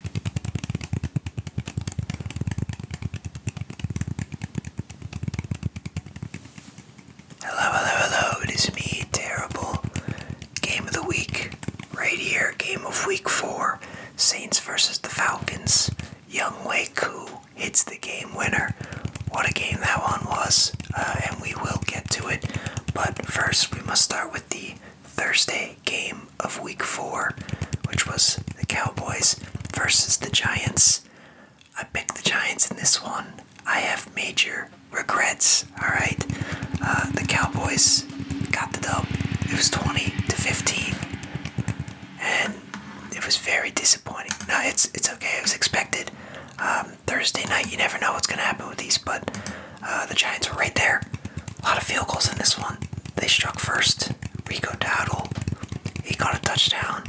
Hello, hello, hello. It is me, Terrible. Game of the Week, right here. Game of Week 4. Saints versus the Falcons. Young Wei hits the game winner. What a game that one was, uh, and we will get to it. But first, we must start with the Thursday game of week four, which was the Cowboys versus the Giants. I picked the Giants in this one. I have major regrets, alright? Uh, the Cowboys got the dub. It was 20 to 15. And it was very disappointing. No, it's, it's okay. It was expected. Um, Thursday night, you never know what's going to happen with these, but uh, the Giants were right there. A lot of field goals in this one. They struck first. Rico Dowdle. He got a touchdown.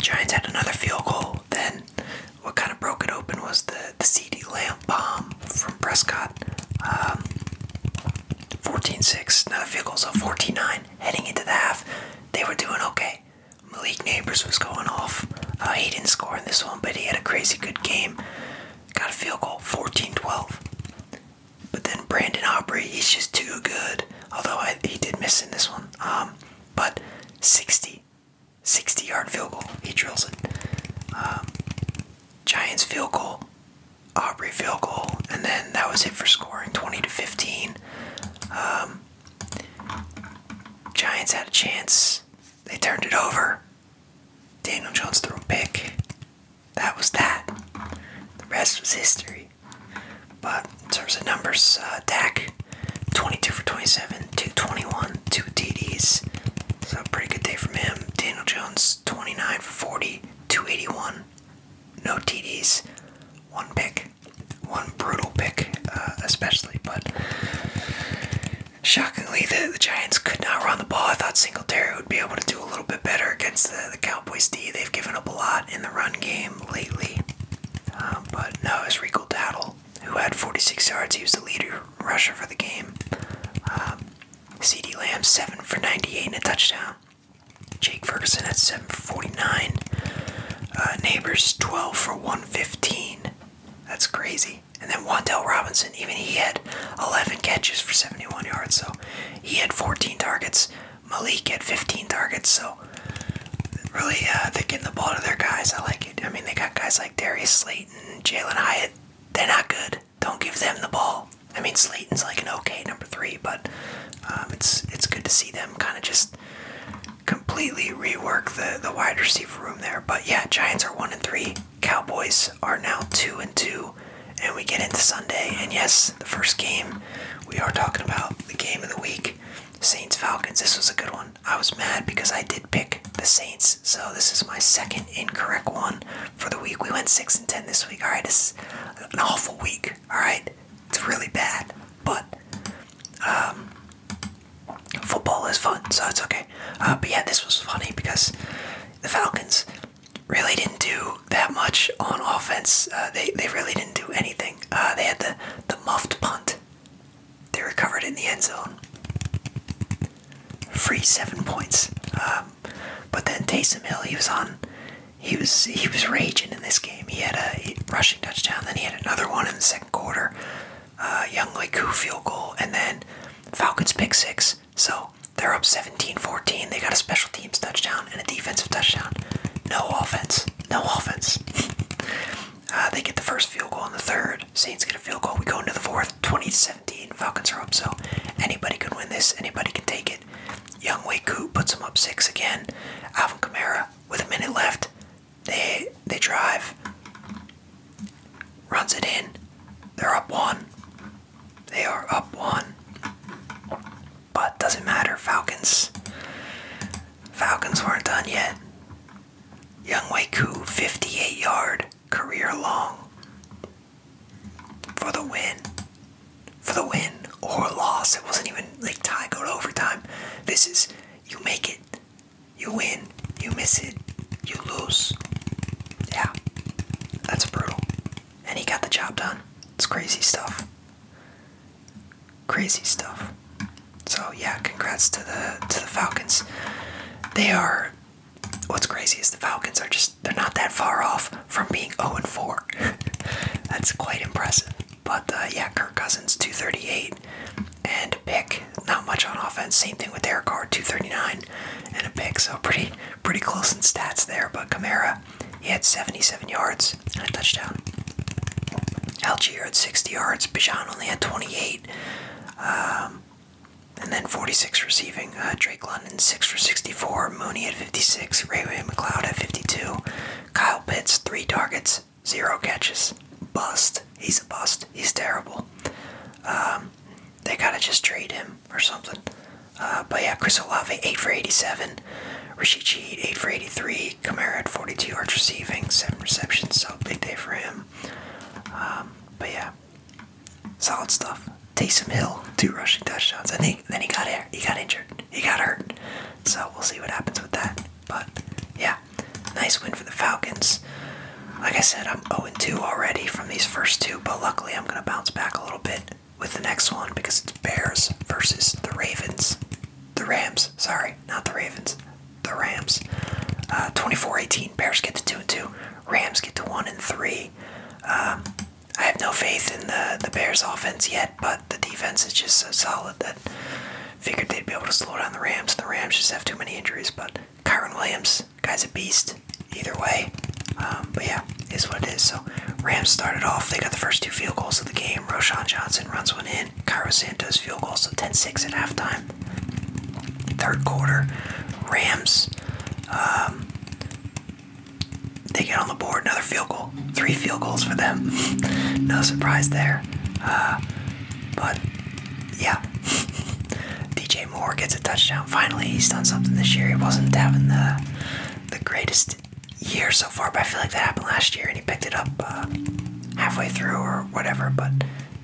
Giants had another field goal. Then what kind of broke it open was the, the CD lamp bomb from Prescott. 14-6, um, another field goal, so 14-9. Heading into the half, they were doing okay. Malik Neighbors was going off. Uh, he didn't score in this one, but he had a crazy good game. Got a field goal, 14-12. But then Brandon Aubrey, he's just too good. Although he did miss in this one. Um, but 60, yard field goal. He drills it. Um, Giants field goal, Aubrey field goal, and then that was it for scoring 20 to 15. Um, Giants had a chance. They turned it over. Daniel Jones threw a pick. That was that. The rest was history. But in terms of numbers, uh, Dak, 22 for 27, 221, 2 TDs. So a pretty good day from him. Daniel Jones, 29 for 40, 281, no TDs, one pick, one brutal pick, uh, especially. But shockingly, the, Giants could not run the ball. I thought Singletary would be able to do a little bit better against the, Cowboys D. They've given up a lot in the run game lately. Um, but no, it's Rico Dattle, who had 46 yards. He was the leader rusher for the game. Um, CD Lamb, 7 for 98 and a touchdown. Jake Ferguson at 7 for 49. Uh, neighbors, 12 for 115. That's crazy. And then Wandell Robinson, even he had 11 catches for 71 yards. So he had 14 targets. Malik had 15 targets. So really, uh, they're getting the ball to their guys. I like it. I mean, they got guys like Darius Slayton, Jalen Hyatt. They're not good. Don't give them the ball. I mean, Slayton's like an okay number three, but um, it's it's good to see them kind of just completely rework the the wide receiver room there. But yeah, Giants are one and three. Cowboys are now two and two, and we get into Sunday. And yes, the first game we are talking about the game of the week, Saints Falcons. This was a good one. I was mad because I did pick the Saints, so this is my second incorrect one for the week. We went six and ten this week. All right, it's an awful week. All right, it's really bad, but um, football is fun, so it's okay. Uh, but yeah, this was funny because the Falcons really didn't do that much on offense. Uh, they they really didn't do anything. Uh, they had the the muffed punt. They recovered in the end zone. Free seven points. Um, but then Taysom Hill, he was on. He was he was raging in this game. He had a rushing touchdown. Then he had another one in the second quarter. Uh, Young Leku field goal, and then Falcons pick six. So they're up 17-14. They got a special teams touchdown and a defensive touchdown. No offense. No offense. Uh, they get the first field goal in the third. Saints get a field goal. We go into the fourth. 20-17. Falcons are up. So anybody can win this. Anybody can take it. Young Wei puts them up six again. Alvin Kamara with a minute left. They they drive. Runs it in. They're up one. They are up one. But doesn't matter, Falcons. Falcons weren't done yet. Young Waiku, 58 yard, career long. For the win. For the win or loss. It wasn't even like tie go to overtime. This is you make it. You win. You miss it. You lose. Yeah. That's brutal and he got the job done. It's crazy stuff. Crazy stuff. So yeah, congrats to the to the Falcons. They are what's crazy is the Falcons are just they're not that far off from being 0 and 4. That's quite impressive. But uh, yeah, Kirk Cousins 238 and pick not much on offense. Same thing with Derek Carr 239 and, a pick. So pretty pretty close in stats there. But Kamara, he had 77 yards and a touchdown. Algier had 60 yards. Bijan only had 28. Um, and then 46 receiving. Uh, Drake London, 6 for 64. Mooney at 56. Rayway McLeod at 52. Kyle Pitts, 3 targets, 0 catches. Bust. He's a bust. He's terrible. Um, they gotta just trade him or something. Uh, but yeah, Chris Olave, 8 for 87. Rashid Cheat, 8 for 83. Kamara had 42 yards receiving, 7 receptions, so big day for him. Um, but yeah, solid stuff. Taysom Hill, 2 rushing touchdowns. And he, then he got, he got injured. He got hurt. So we'll see what happens with that. But yeah, nice win for the Falcons. Like I said, I'm 0 2 already from these first two, but luckily I'm going to bounce back a little bit with the next one because it's Bears versus the Ravens. The Rams, sorry, not the Ravens. The Rams. Uh, 24-18, Bears get to 2 and 2. Rams get to 1 and 3. Um, I have no faith in the, the Bears offense yet, but the defense is just so solid that figured they'd be able to slow down the Rams. The Rams just have too many injuries, but Kyron Williams Guy's a beast. Either way. Um, but yeah, is what it is. So Rams started off. They got the first two field goals of the game. Roshan Johnson runs one in. Cairo Santos field goal. So 10-6 at halftime. Third quarter. Rams. Um, they get on the board. Another field goal. Three field goals for them. no surprise there. Uh, but yeah. DJ more gets a touchdown. Finally, he's done something this year. He wasn't having the the greatest year so far, but I feel like that happened last year, and he picked it up uh, halfway through or whatever. But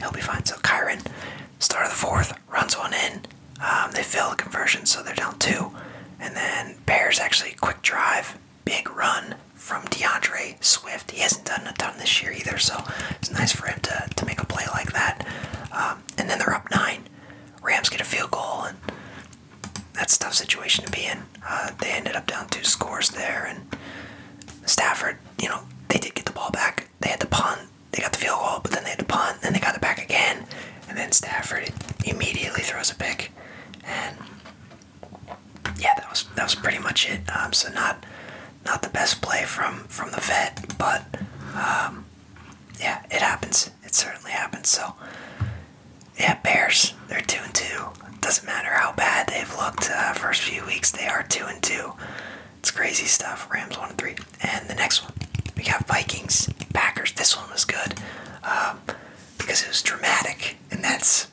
he'll be fine. So Kyron, start of the fourth, runs one in. Um, they fail the conversion, so they're down two. And then Bears actually quick drive, big run from DeAndre Swift. He hasn't done a ton this year either, so it's nice for him to, to make a play like that. Um, and then they're up nine. Rams get a field goal, and that's a tough situation to be in. Uh, they ended up down two scores there, and Stafford, you know, they did get the ball back. They had to punt, they got the field goal, but then they had to punt, then they got it back again, and then Stafford immediately throws a pick, and yeah, that was that was pretty much it. Um, so not not the best play from from the vet, but um, yeah, it happens. It certainly happened. So, yeah, Bears. They're two and two. Doesn't matter how bad they've looked uh, first few weeks. They are two and two. It's crazy stuff. Rams one and three. And the next one, we got Vikings Packers. This one was good um, because it was dramatic, and that's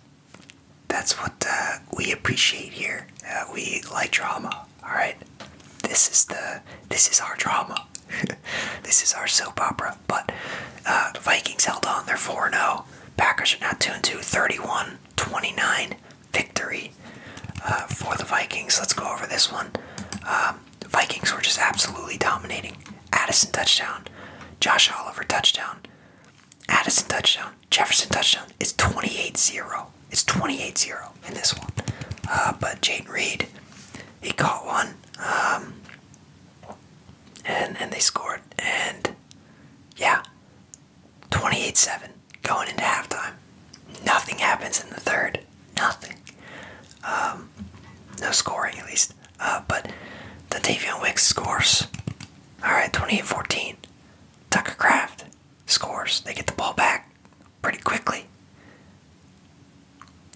that's what uh, we appreciate here. Uh, we like drama. All right, this is the this is our drama this is our soap opera. But uh, Vikings held on. They're 4 0. Packers are now 2 2. 31 29 victory uh, for the Vikings. Let's go over this one. Um, Vikings were just absolutely dominating. Addison touchdown. Josh Oliver touchdown. Addison touchdown. Jefferson touchdown. It's 28 0. It's 28 0 in this one. Uh, but Jaden Reed, he caught one. Um, and and they scored. And yeah, 28-7 going into halftime. Nothing happens in the third. Nothing. Um, no scoring at least. Uh, but the Davion Wicks scores. All right, 28-14. Tucker Craft scores. They get the ball back pretty quickly.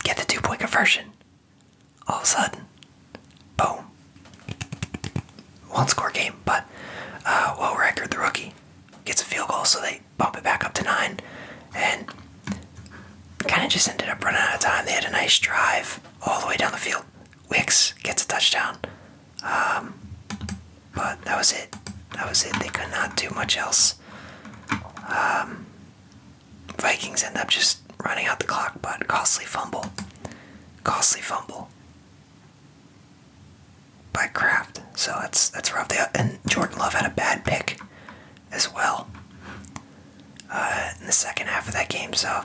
Get the two point conversion. All of a sudden, boom. One score game, but uh, well record the rookie gets a field goal, so they bump it back up to nine, and kind of just ended up running out of time. They had a nice drive all the way down the field. Wicks gets a touchdown, um, but that was it. That was it. They could not do much else. Um, Vikings end up just running out the clock, but costly fumble. Costly fumble by Kraft. So that's that's rough. They, and Jordan Love had a bad pick as well uh, in the second half of that game. So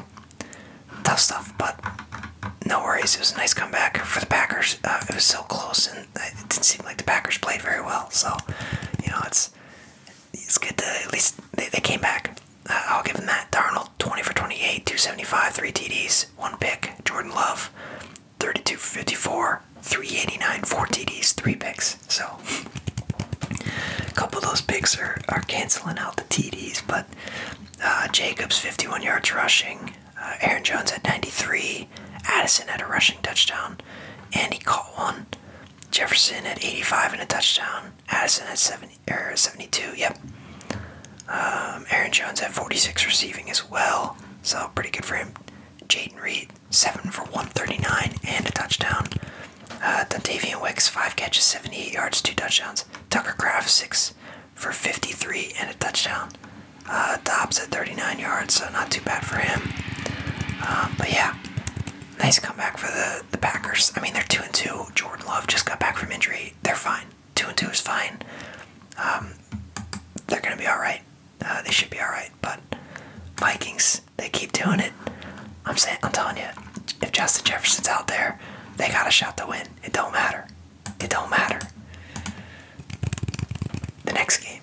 tough stuff, but no worries. It was a nice comeback for the Packers. Uh, it was so close, and it didn't seem like the Packers played very well. So you know, it's it's good to at least they, they came back. Uh, I'll give them that. Darnold, 20 for 28, 275, 3 TDs, 1 pick. Jordan Love, 32 54, 389, 4 TDs, 3 picks. So, a couple of those picks are, are canceling out the TDs, but uh, Jacobs, 51 yards rushing. Uh, Aaron Jones at 93. Addison had a rushing touchdown, and he caught one. Jefferson at 85 and a touchdown. Addison at 70, er, 72. Yep. Um, Aaron Jones at 46 receiving as well. So pretty good for him. Jaden Reed, 7 for 139 and a touchdown. Uh, Dontavian Wicks, 5 catches, 78 yards, 2 touchdowns. Tucker Craft, 6 for 53 and a touchdown. Uh, Dobbs at 39 yards, so not too bad for him. Um, but yeah, Nice comeback for the the Packers. I mean, they're two and two. Jordan Love just got back from injury. They're fine. Two and two is fine. Um, they're gonna be all right. Uh, they should be all right. But Vikings, they keep doing it. I'm saying, I'm telling you, if Justin Jefferson's out there, they got a shot to win. It don't matter. It don't matter. The next game,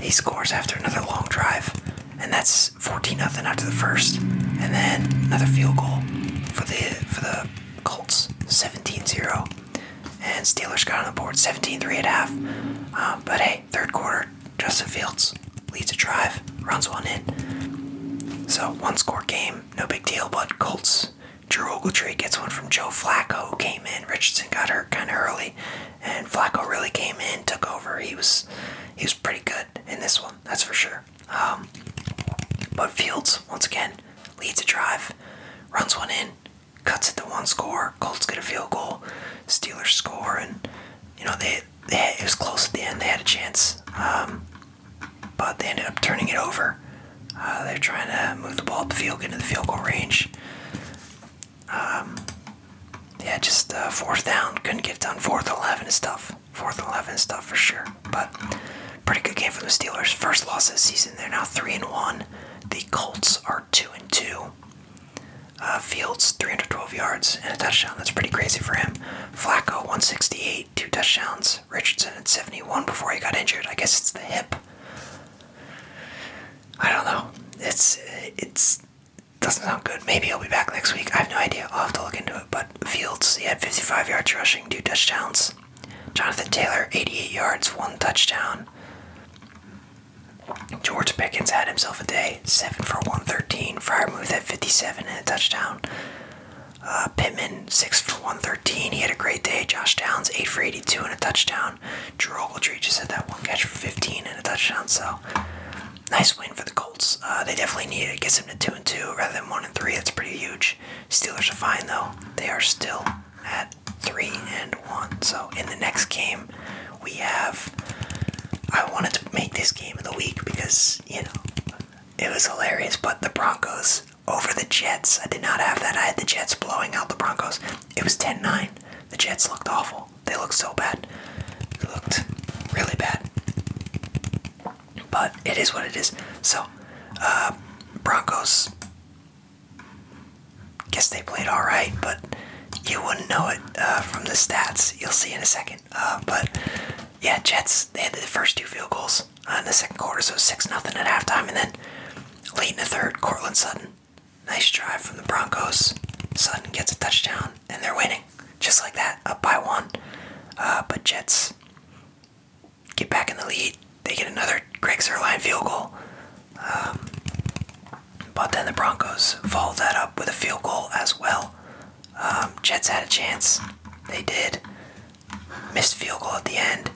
he scores after another long drive, and that's 14 0 after the first, and then another field goal for the for the Colts, 17-0, and Steelers got on the board 17-3 at half. Uh, but hey, third quarter, Justin Fields leads a drive, runs one in. So one score game, no big deal. But Colts, Drew Ogletree gets one from Joe Flacco, who came in. Richardson got hurt kind of early, and Flacco really came in, took over. He was he was pretty good in this one, that's for sure. Um, but Fields once again leads a drive, runs one in, cuts it to one score. Colts get a field goal, Steelers score, and you know they, they it was close at the end. They had a chance, um, but they ended up turning it over. Uh, they're trying to move the ball up the field, get into the field goal range. Um, yeah, just uh, fourth down. Couldn't get it done. Fourth 11 is tough. Fourth 11 stuff for sure. But pretty good game for the Steelers. First loss of season. They're now 3 and 1. The Colts are 2 and 2. Uh, Fields, 312 yards and a touchdown. That's pretty crazy for him. Flacco, 168, two touchdowns. Richardson at 71 before he got injured. I guess it's the hip. I don't know. It's it's doesn't sound good. Maybe he'll be back next week. I have no idea. I'll have to look into it. But Fields, he had 55 yards rushing, two touchdowns. Jonathan Taylor, 88 yards, one touchdown. George Pickens had himself a day, 7 for 113. moved had 57 and a touchdown. Uh, Pittman, 6 for 113. He had a great day. Josh Downs, 8 for 82 and a touchdown touchdown. Drew Ogletree just had that one catch for 15 and a touchdown. So nice win for the Colts. Uh, they definitely need it. it. Gets them to two and two rather than one and three. That's pretty huge. Steelers are fine though. They are still at three and one. So in the next game, we have. I wanted to make this game of the week because you know it was hilarious. But the Broncos over the Jets. I did not have that. I had the Jets blowing out the Broncos. It was 10-9. The Jets looked awful. They looked so bad. They looked really bad. But it is what it is. So, uh, Broncos, guess they played all right, but you wouldn't know it uh, from the stats. You'll see in a second. Uh, but yeah, Jets, they had the first two field goals uh, in the second quarter, so 6 nothing at halftime. And then late in the third, Cortland Sutton Nice drive from the Broncos. Sutton gets a touchdown, and they're winning. Just like that, up by one. Uh, but Jets get back in the lead. They get another Greg Zerline field goal. Um, but then the Broncos follow that up with a field goal as well. Um, Jets had a chance. They did. Missed field goal at the end.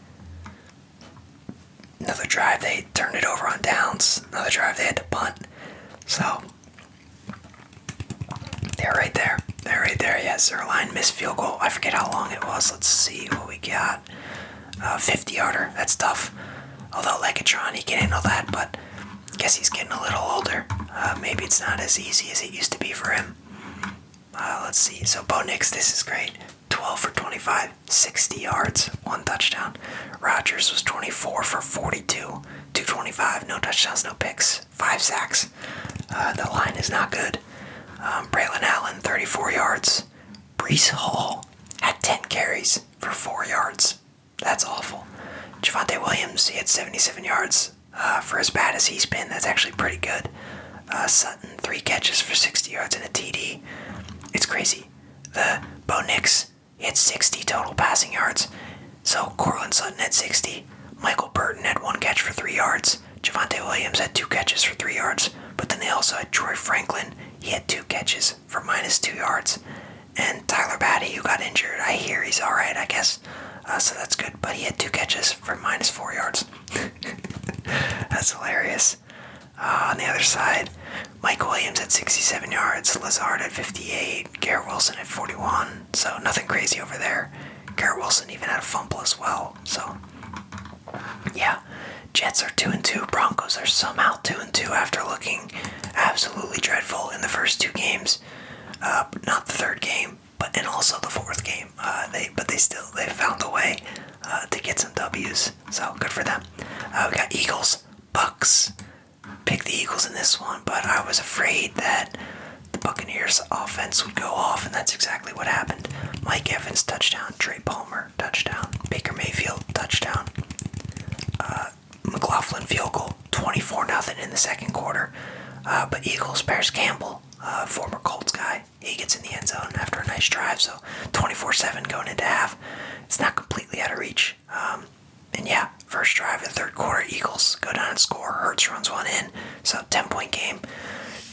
Another drive, they turned it over on downs. Another drive, they had to punt. So, they're right there. They're right there. Yes, their line missed field goal. I forget how long it was. Let's see what we got. 50 yarder. That's tough. Although Legatron, he can handle that, but I guess he's getting a little older. Uh, maybe it's not as easy as it used to be for him. Uh, let's see. So Bo Nix, this is great. 12 for 25. 60 yards, one touchdown. Rogers was 24 for 42, 225, no touchdowns, no picks, five sacks. Uh, the line is not good. Um, Braylon Allen, 34 yards. Brees Hall had 10 carries for four yards. That's awful. Javante Williams, he had 77 yards. Uh, for as bad as he's been, that's actually pretty good. Uh, Sutton, three catches for 60 yards and a TD. It's crazy. The Bo Nix he had 60 total passing yards. So Cortland Sutton had 60. Michael Burton had one catch for three yards. Javante Williams had two catches for three yards. But then they also had Troy Franklin. He had two catches for minus two yards. And Tyler Batty, who got injured, I hear he's all right, I guess. Uh, so that's good. But he had two catches for minus four yards. that's hilarious. Ah, on the other side, Mike Williams at 67 yards, Lazard at 58, Garrett Wilson at 41. So nothing crazy over there. Garrett Wilson even had a fumble as well. So yeah, Jets are two and two. Broncos are somehow two and two after looking absolutely dreadful in the first two games. Uh, not the third game, but and also the fourth game. Uh, they but they still they found a way uh, to get some W's. So good for them. we got Eagles, Bucks pick the Eagles in this one, but I was afraid that the Buccaneers' offense would go off, and that's exactly what happened. Mike Evans, touchdown. Trey Palmer, touchdown. Baker Mayfield, touchdown. Uh, McLaughlin field goal, 24 0 in the second quarter. Uh, but Eagles, Paris Campbell, uh, former Colts guy, he gets in the end zone after a nice drive, so 24 7 going into half. It's not completely out of reach. Um, and yeah, first drive in third quarter, Eagles go down and score. Hertz runs one in. So 10 point game.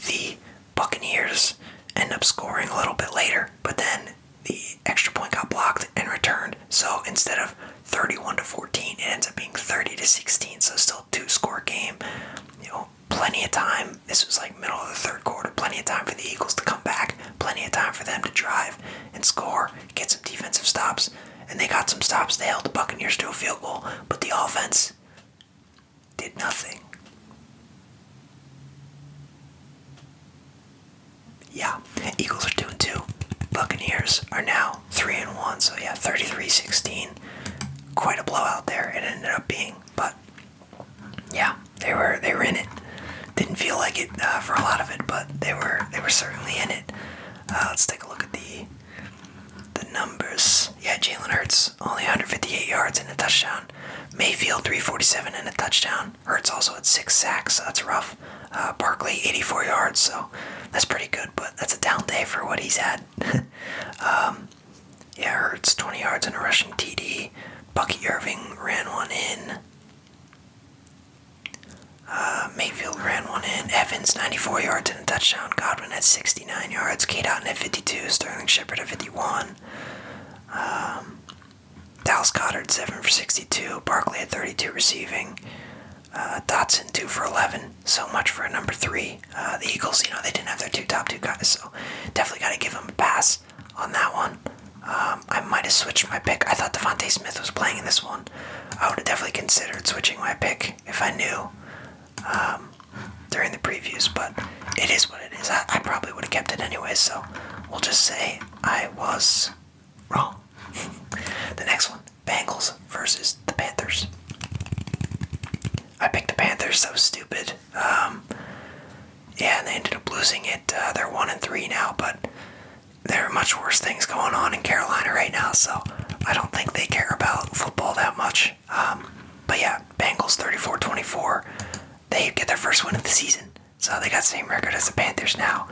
The Buccaneers end up scoring a little bit later, but then the extra point got blocked and returned. So instead of 31 to 14, it ends up being 30 to 16. So still two score game. You know, plenty of time. This was like middle of the third quarter. Plenty of time for the Eagles to come back plenty of time for them to drive and score, get some defensive stops. And they got some stops. They held the Buccaneers to a field goal, but the offense did nothing. Yeah, Eagles are 2 and 2. Buccaneers are now 3 and 1. So, yeah, 33 Quite a blowout there, it ended up being. But, yeah, they were they were in it. Didn't feel like it uh, for a lot of it, but they were they were certainly in it. Uh, let's take a look at the the numbers. Yeah, Jalen Hurts only 158 yards and a touchdown. Mayfield 347 and a touchdown. Hurts also had six sacks. that's rough. Uh, Barkley 84 yards, so that's pretty good. But that's a down day for what he's had. um, yeah, Hurts 20 yards and a rushing TD. Bucky Irving ran one in. Uh, Mayfield ran one in. Evans, 94 yards and a touchdown. Godwin had 69 yards. K. Dotton at 52. Sterling Shepard at 51. Um, Dallas Goddard, 7 for 62. Barkley at 32 receiving. Uh, Dotson, 2 for 11. So much for a number 3. Uh, the Eagles, you know, they didn't have their two top two guys, so definitely got to give them a pass on that one. Um, I might have switched my pick. I thought Devontae Smith was playing in this one. I would have definitely considered switching my pick if I knew um, during the previews, but it is what it is. I, probably would have kept it anyway, so we'll just say I was wrong. the next one Bengals versus the Panthers. I picked the Panthers. So stupid. Um, yeah, and they ended up losing it. Uh, they're one and three now, but there are much worse things going on in Carolina right now, so I don't think they care about football that much. Um, but yeah, Bengals 34-24. They get their first win of the season, so they got same record as the Panthers now.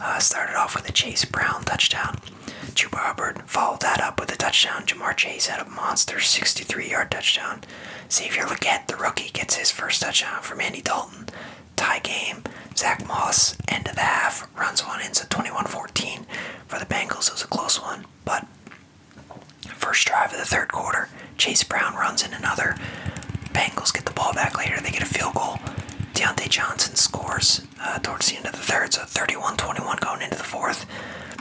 Uh, started off with a Chase Brown touchdown. Chuba Hubbard followed that up with a touchdown. Jamar Chase had a monster 63-yard touchdown. Xavier Leggett, the rookie, gets his first touchdown from Andy Dalton tie game. Zach Moss, end of the half, runs one in, so 21-14 for the Bengals. It was a close one, but first drive of the third quarter, Chase Brown runs in another. Bengals get the ball back later. They get a field goal. Deontay Johnson scores uh, towards the end of the third, so 31-21 going into the fourth.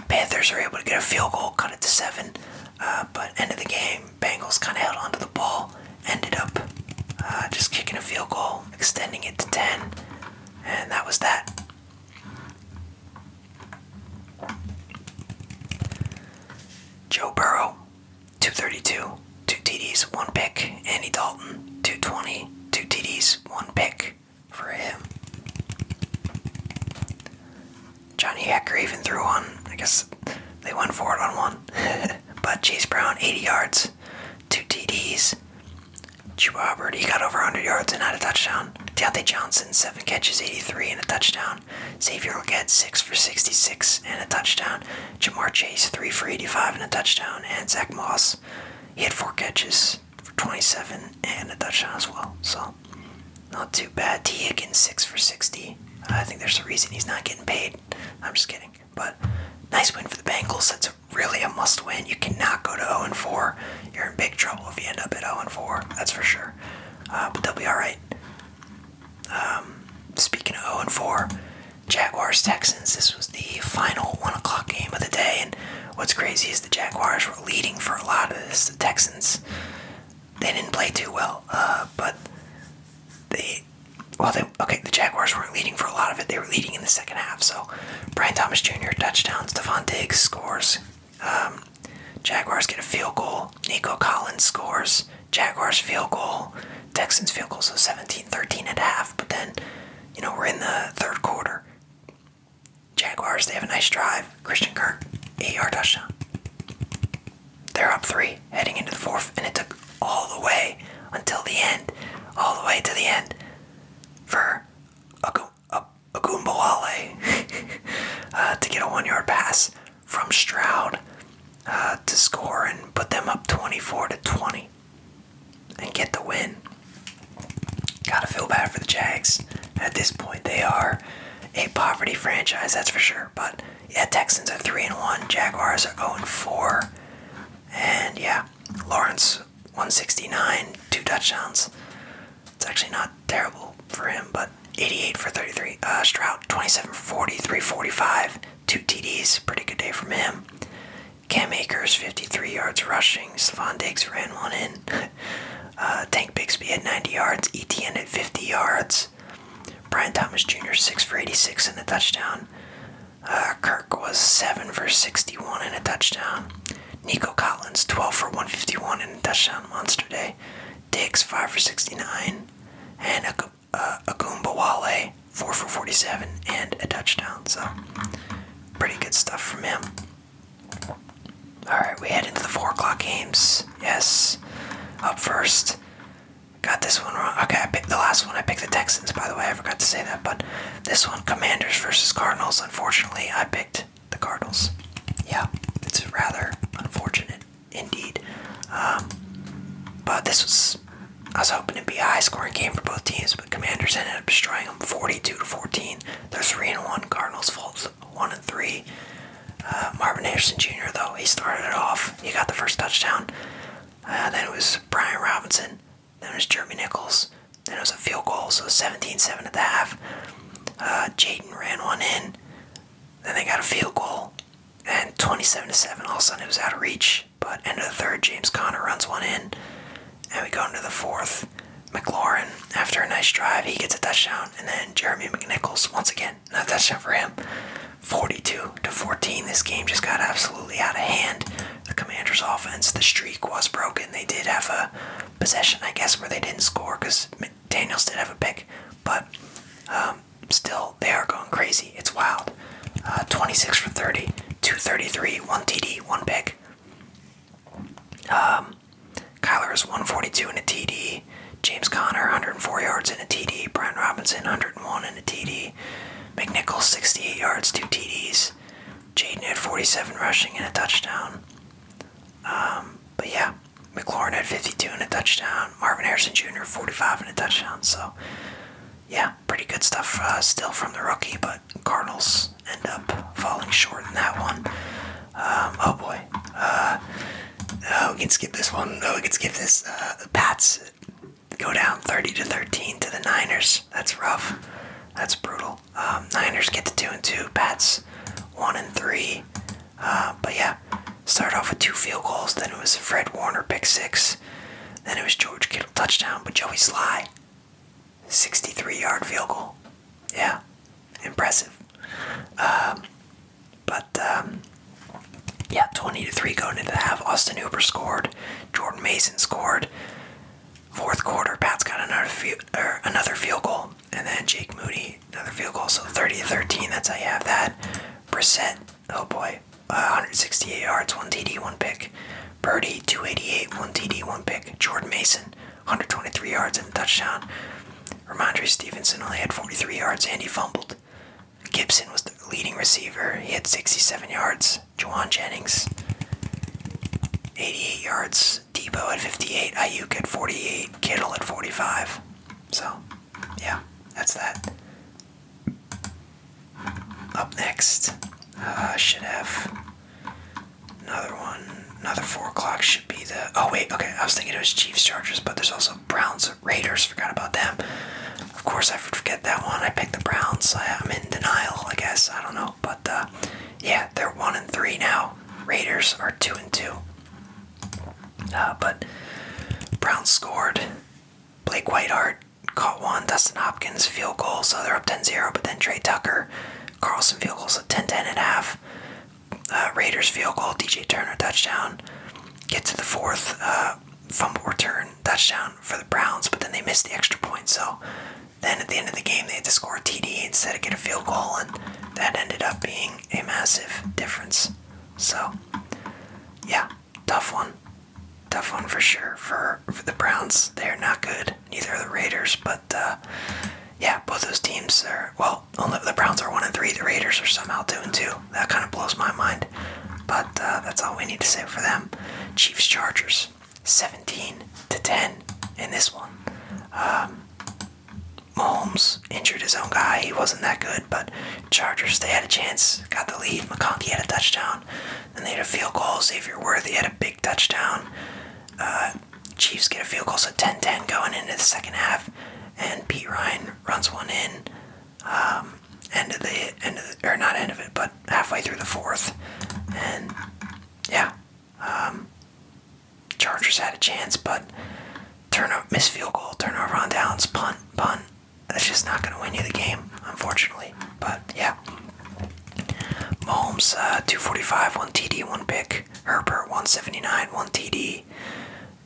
Panthers are able to get a field goal, cut it to seven, uh, but end of the game, Bengals kind of held onto the ball, ended up uh, just kicking a field goal, extending it to 10, and that was that. Joe Burrow, 232, 2 TDs, 1 pick. Andy Dalton, 220, 2 TDs, 1 pick for him. Johnny Hecker even threw one. I guess they went for it on one. but Chase Brown, 80 yards, two TDs. Drew Robert, he got over 100 yards and had a touchdown. Deontay Johnson, 7 catches, 83 and a touchdown. Xavier Leggett, 6 for 66 and a touchdown. Jamar Chase, 3 for 85 and a touchdown. And Zach Moss, he had 4 catches for 27 and a touchdown as well. So, not too bad. T. Higgins, 6 for 60. I think there's a reason he's not getting paid. I'm just kidding. But nice win for the Bengals. That's really a must win. You cannot go to 0 4. You're in big trouble if you end up at 0 4. That's for sure. Uh, but they'll be alright. Um, speaking of 0 4, Jaguars Texans. This was the final 1 o'clock game of the day. And what's crazy is the Jaguars were leading for a lot of this. The Texans, they didn't play too well. Uh, but they well okay the Jaguars weren't leading for a lot of it. They were leading in the second half. So Brian Thomas Jr. touchdown, Stephon Diggs scores. Um, Jaguars get a field goal. Nico Collins scores. Jaguars field goal. Texans field goal so 17-13 at half. But then, you know, we're in the third quarter. Jaguars, they have a nice drive. Christian Kirk, eight touchdown they're up three heading into the fourth, and it took all the way until the end, all the way to the end for a uh, Agumbawale uh, to get a one yard pass from Stroud uh, to score and put them up 24 to 20 and get the win. Gotta feel bad for the Jags at this point. They are a poverty franchise, that's for sure, but yeah, Texans are three and one. Jaguars are zero and four. And yeah, Lawrence 169, two touchdowns. It's actually not terrible for him, but 88 for 33. Uh, Stroud 27 345, two TDs. Pretty good day from him. Cam Akers 53 yards rushing. Stephon Diggs ran one in. Uh, Tank Bixby at 90 yards. ETN at 50 yards. Brian Thomas Jr. six for eighty-six and a touchdown. Uh, Kirk was seven for sixty-one and a touchdown. Nico Collins twelve for one fifty-one and a touchdown. Monster day. Dix five for sixty-nine and a uh, Agumbawale four for forty-seven and a touchdown. So pretty good stuff from him. All right, we head into the four o'clock games. Yes, up first. Got this one wrong. Okay, I picked the last one. I picked the Texans, by the way. I forgot to say that. But this one, Commanders versus Cardinals. Unfortunately, I picked the Cardinals. Yeah, it's rather unfortunate indeed. Um, but this was, I was hoping to be a high scoring game for both teams, but Commanders ended up destroying them 42 to 14. They're 3 and 1. Cardinals fall 1 and 3. Uh, Marvin Anderson Jr., though, he started it off. He got the first touchdown. Uh, then it was Brian Robinson. Then it was Jeremy Nichols. Then it was a field goal, so 17-7 at the half. Uh, Jaden ran one in. Then they got a field goal. And 27-7, all of a sudden it was out of reach. But end of the third, James Connor runs one in. And we go into the fourth. McLaurin, after a nice drive, he gets a touchdown. And then Jeremy McNichols, once again, not a touchdown for him. 42 to 14. This game just got absolutely out of hand. The Commanders' offense, the streak was broken. They did have a possession, I guess, where they didn't score because Daniels did have a pick, but um, still, they are going crazy. It's wild. Uh, 26 for 30, 233, one TD, one pick. Um, Kyler is 142 in a TD. James Connor, 104 yards in a TD. Brian Robinson, 101 in a TD. McNichols 68 yards, two TDs. Jaden had 47 rushing and a touchdown. Um, but yeah, McLaurin had 52 and a touchdown. Marvin Harrison Jr. 45 and a touchdown. So yeah, pretty good stuff uh, still from the rookie, but Cardinals end up falling short in that one. Um, oh boy. Uh, oh, we can skip this one. Oh, we can skip this. Uh, the Pats go down 30 to 13 to the Niners. That's rough. That's brutal. Um, Niners get to two and two. Pats one and three. Uh, but yeah, start off with two field goals. Then it was Fred Warner pick six. Then it was George Kittle touchdown. But Joey Sly, 63 yard field goal. Yeah, impressive. Um, but um, yeah, 20 to 3 going into the Austin Huber scored. Jordan Mason scored. Fourth quarter, Pat's got another field, er, another field goal. And then Jake Moody, another field goal. So 30 13, that's how you have that. percent. oh boy, 168 yards, 1 TD, 1 pick. Birdie, 288, 1 TD, 1 pick. Jordan Mason, 123 yards and a touchdown. Ramondre Stevenson only had 43 yards and he fumbled. Gibson was the leading receiver. He had 67 yards. Juwan Jennings, 88 yards. Depot at 58. Ayuk at 48. Kittle at 45. So, yeah, that's that. Up next, uh, should have another one. Another 4 o'clock should be the. Oh, wait, okay. I was thinking it was Chiefs Chargers, but there's also Browns Raiders, forgot about them. Of course, I forget that one. I picked the Browns. I, am in denial, I guess. I don't know. But uh, yeah, they're 1 and 3 now. Raiders are 2 and 2. Uh, but Browns scored. Blake Whitehart caught one. Dustin Hopkins, field goal. So they're up 10 0. But then Trey Tucker, Carlson, field goal. So 10 10 and a half. Uh, Raiders field goal, DJ Turner touchdown. Get to the fourth. Uh, fumble return touchdown for the Browns, but then they missed the extra point. So then at the end of the game, they had to score a TD instead of get a field goal, and that ended up being a massive difference. So yeah, tough one. Tough one for sure for, for the Browns. They're not good. Neither are the Raiders, but uh, yeah, both those teams are well. Only the Browns are one and three. The Raiders are somehow two and two. That kind of blows my mind. But uh, that's all we need to say for them. Chiefs Chargers, 17 to 10 in this one. Um, Mahomes injured his own guy. He wasn't that good, but Chargers, they had a chance, got the lead. McConkey had a touchdown. Then they had a field goal. Xavier Worthy had a big touchdown. Uh, Chiefs get a field goal, so 10 10 going into the second half. And Pete Ryan runs one in um, end of the end of the, or not end of it, but halfway through the fourth, and yeah, um, Chargers had a chance, but turnover, miss field goal, turnover on downs, punt, punt. That's just not going to win you the game, unfortunately. But yeah, Mahomes uh, two forty five, one TD, one pick. Herbert one seventy nine, one TD.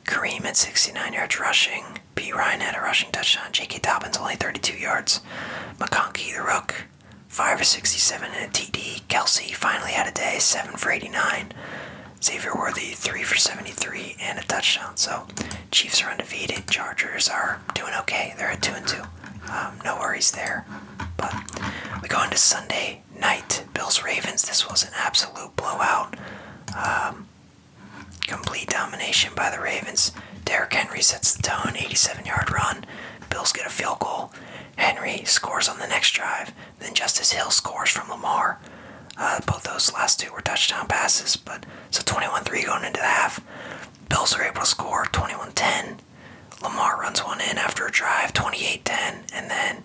Kareem at 69 yards rushing. P. Ryan had a rushing touchdown. J.K. Dobbins only 32 yards. McConkey, the Rook, 5 for 67 and a TD. Kelsey finally had a day, 7 for 89. Xavier Worthy, 3 for 73 and a touchdown. So, Chiefs are undefeated. Chargers are doing okay. They're at 2 and 2. Um, no worries there. But we go into Sunday night. Bills Ravens. This was an absolute blowout. Um, Complete domination by the Ravens. Derrick Henry sets the tone, 87-yard run. Bills get a field goal. Henry scores on the next drive. Then Justice Hill scores from Lamar. Uh, both those last two were touchdown passes, but so 21-3 going into the half. Bills are able to score 21-10. Lamar runs one in after a drive, 28-10, and then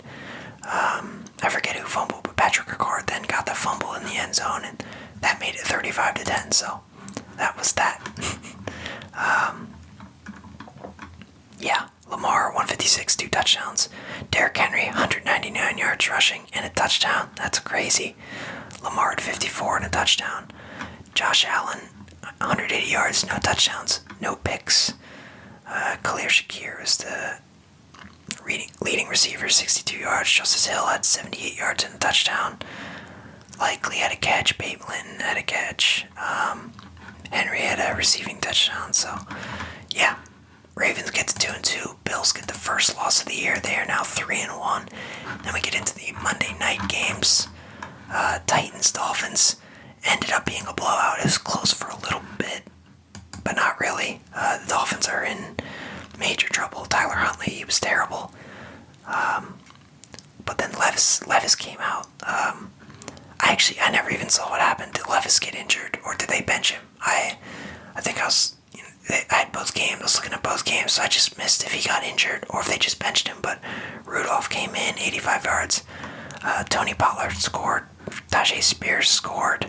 um, I forget who fumbled, but Patrick Ricard then got the fumble in the end zone, and that made it 35 to 10. So that was that. Um, yeah, Lamar 156, two touchdowns. Derrick Henry 199 yards rushing and a touchdown. That's crazy. Lamar at 54 and a touchdown. Josh Allen 180 yards, no touchdowns, no picks. Uh, Khalil Shakir was the leading receiver, 62 yards. Justice Hill had 78 yards touchdown. Likely had a catch. Babe Linton had a catch. Um, Henry had a receiving touchdown. So, yeah, Ravens get to two and two. Bills get the first loss of the year. They are now three and one. Then we get into the Monday night games. Uh, Titans Dolphins ended up being a blowout. It was close for a little bit, but not really. Uh, Dolphins are in major trouble. Tyler Huntley he was terrible. Um, but then Levis Levis came out. Um, I actually I never even saw what happened. Did Levis get injured or did they bench him? I I think I was I had both games. I was looking at both games, so I just missed if he got injured or if they just benched him. But Rudolph came in 85 yards. Uh, Tony Pollard scored. Tajay Spears scored.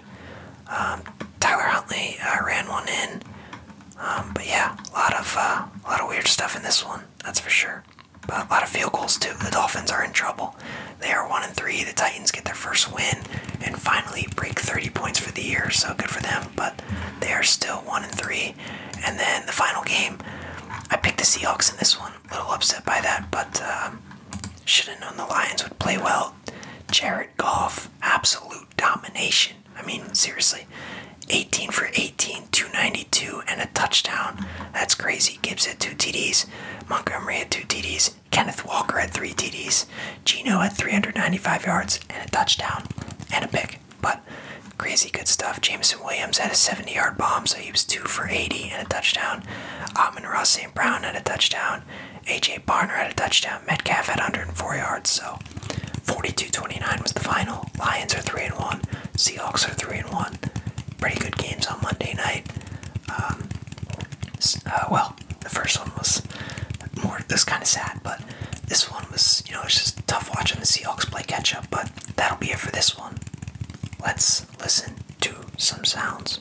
Um, Tyler Huntley uh, ran one in. Um, but yeah, a lot of uh, a lot of weird stuff in this one, that's for sure. a lot of field goals too. The Dolphins are in trouble. They are one and three. The Titans get their first win and finally break 30 points for the year, so good for them. But they are still one and three. And then the final game, I picked the Seahawks in this one. A little upset by that, but um, should have known the Lions would play well. Jared Goff, absolute domination. I mean, seriously, 18 for 18, 292, and a touchdown. That's crazy. Gibbs had two TDs. Montgomery had two TDs. Kenneth Walker had three TDs. Gino had 395 yards and a touchdown and a pick. But crazy good stuff. Jameson Williams had a 70 yard bomb, so he was 2 for 80 and a touchdown. Amon Ross and Brown had a touchdown. A.J. Barner had a touchdown. Yeah, Metcalf had 104 yards, so 42-29 was the final. Lions are 3 and 1. Seahawks are 3 and 1. Pretty good games on Monday night. Um, uh, well, the first one was more this kind of sad, but this one was, you know, it's just tough watching the Seahawks play catch up, but that'll be it for this one. Let's listen to some sounds.